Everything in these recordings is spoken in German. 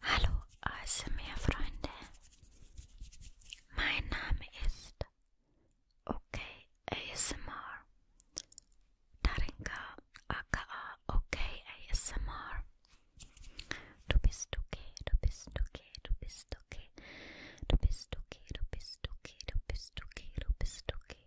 Hallo ASMR-Freunde, mein Name ist OK ASMR, Darinka aka OK ASMR. Du bist okay, du bist okay, du bist okay, du bist okay, du bist okay, du bist okay, du bist okay,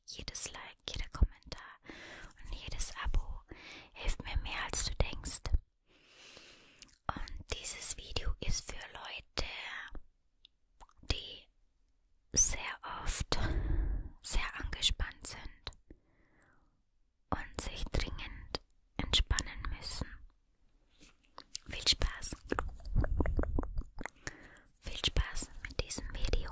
jedes Like, jeder Kommentar und jedes Abo hilft mir mehr als du denkst. Und dieses Video ist für Leute, die sehr oft sehr angespannt sind und sich dringend entspannen müssen. Viel Spaß! Viel Spaß mit diesem Video.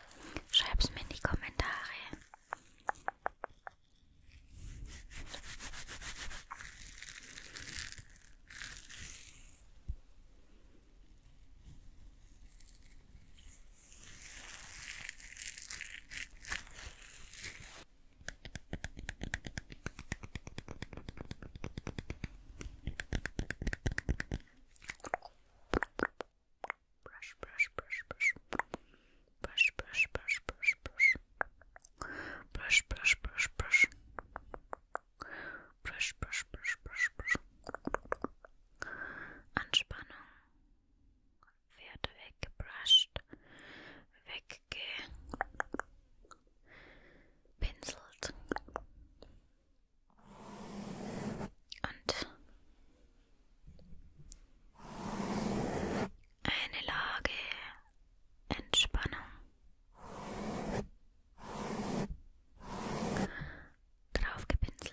Schreib's mir in die Kommentare brush, brush, brush, brush, brush, brush, brush, brush, brush, brush, brush, brush, brush, brush, brush, brush, brush, brush. Anspannung wird weggebrusht, weggepinselt, und eine Lage Entspannung, drauf gepinselt.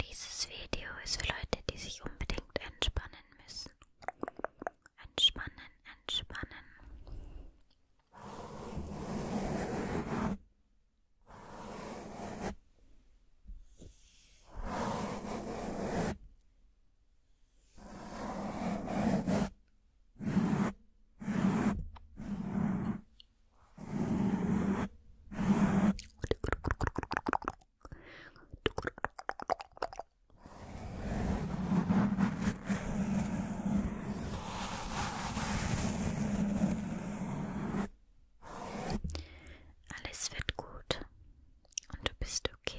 Dieses Video ist für Leute, die sich unbedingt entspannen müssen. Entspannen, entspannen. Alles wird gut und du bist okay.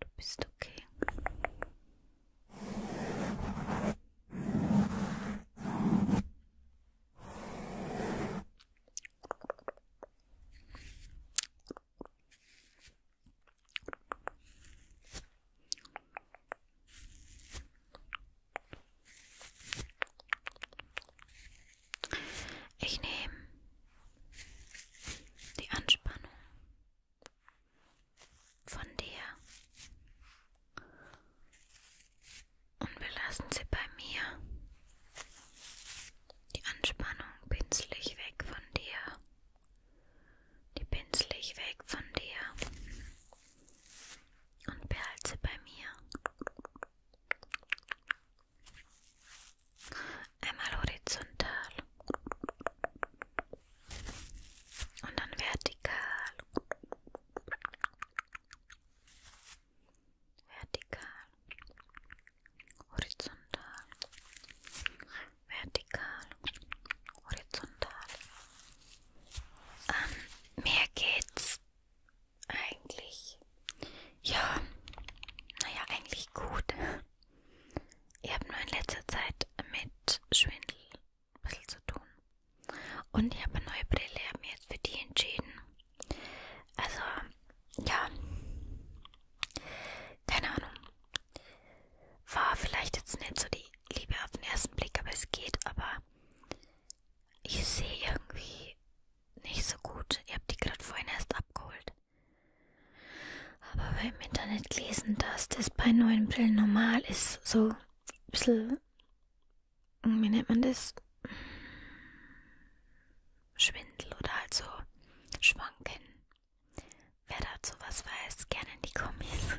Du bist okay. Ich nehme die Anspannung von dir und wir lassen sie bei mir. Die Anspannung pinsel ich weg von dir. Die pinsel ich weg von dir. Und behalte sie bei mir. Einmal horizontal. Und dann vertikal vertikal, horizontal, vertikal, horizontal. Ähm, mehr geht's eigentlich. Ja, naja, eigentlich gut. Ich habe nur in letzter Zeit mit Schwindel ein bisschen zu tun. Und ich habe eine neue Brille, habe mich jetzt für die entschieden. Also, ja. Keine Ahnung. War vielleicht jetzt nicht so die Liebe auf den ersten Blick, aber es geht. Aber ich sehe irgendwie nicht so gut. Ich habe die gerade vorhin erst abgeholt. Aber beim Internet gelesen, dass das bei neuen Brillen normal ist, so ein bisschen wie nennt man das? Schwindel oder halt so Schwanken. Wer dazu was weiß, gerne in die Kommis.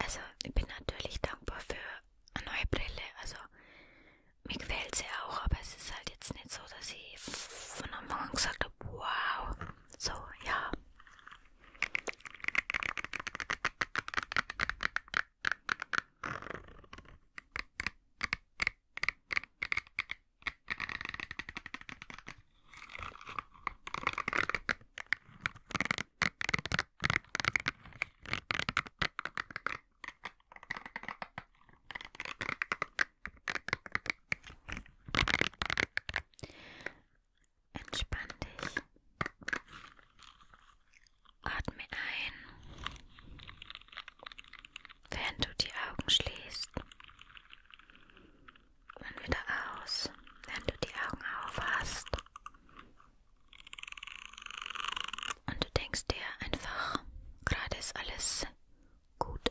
Also ich bin natürlich dankbar für eine neue Brille. Also mir gefällt sie auch, aber es ist halt jetzt nicht so, dass ich von Anfang an gesagt habe, wow. So, ja. Entspann dich. Atme ein, während du die Augen schließt. Und wieder aus, während du die Augen auf hast. Und du denkst dir einfach Gerade ist alles gut.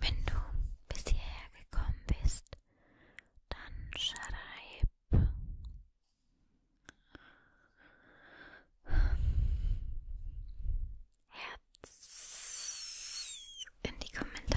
Wenn du bis hierher gekommen bist, dann schreib Herz in die Kommentare.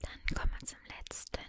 Dann kommen wir zum letzten.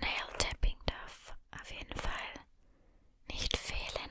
Nail Tapping darf auf jeden Fall nicht fehlen.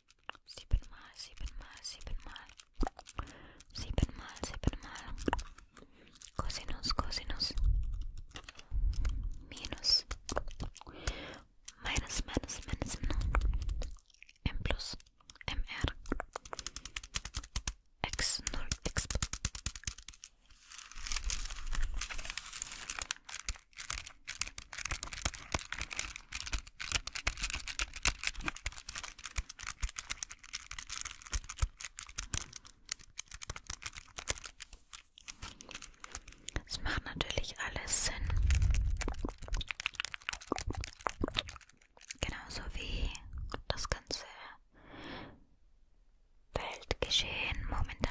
sieben mal, sieben mal, sieben mal, sieben mal, sieben mal, cosinus, cosinus, minus, minus, minus, minus, m plus, m x x. Es macht natürlich alles Sinn. Genauso wie das ganze Weltgeschehen momentan.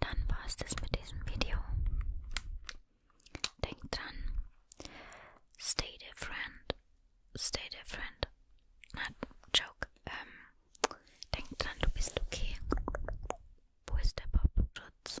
Dann war es das mit diesem Video. Denkt dran, stay different, stay different. Na, joke. Ähm, denk dran, du bist okay. Wo ist der Popschutz?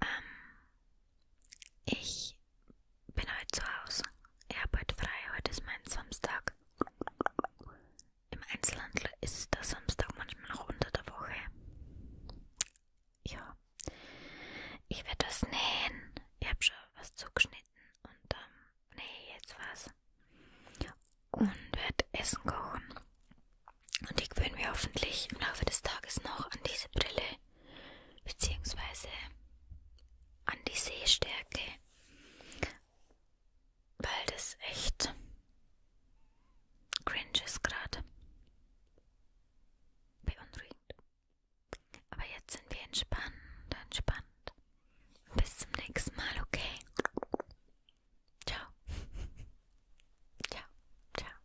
Ähm, ich bin heute zu Hause. Ich habe heute frei. Heute ist mein Samstag. Im Einzelhandel ist der Samstag manchmal noch unter der Woche. Ja, ich werde das nähen. Ich habe schon was zugeschnitten und ähm, nähe jetzt was. Und werde Essen kochen. Und ich gewöhne mir hoffentlich im Laufe des Tages noch an diese Brille beziehungsweise an die Sehstärke, weil das echt cringe ist gerade. Beunruhigend. Aber jetzt sind wir entspannt, entspannt. Bis zum nächsten Mal, okay? Ciao. Ciao, ciao.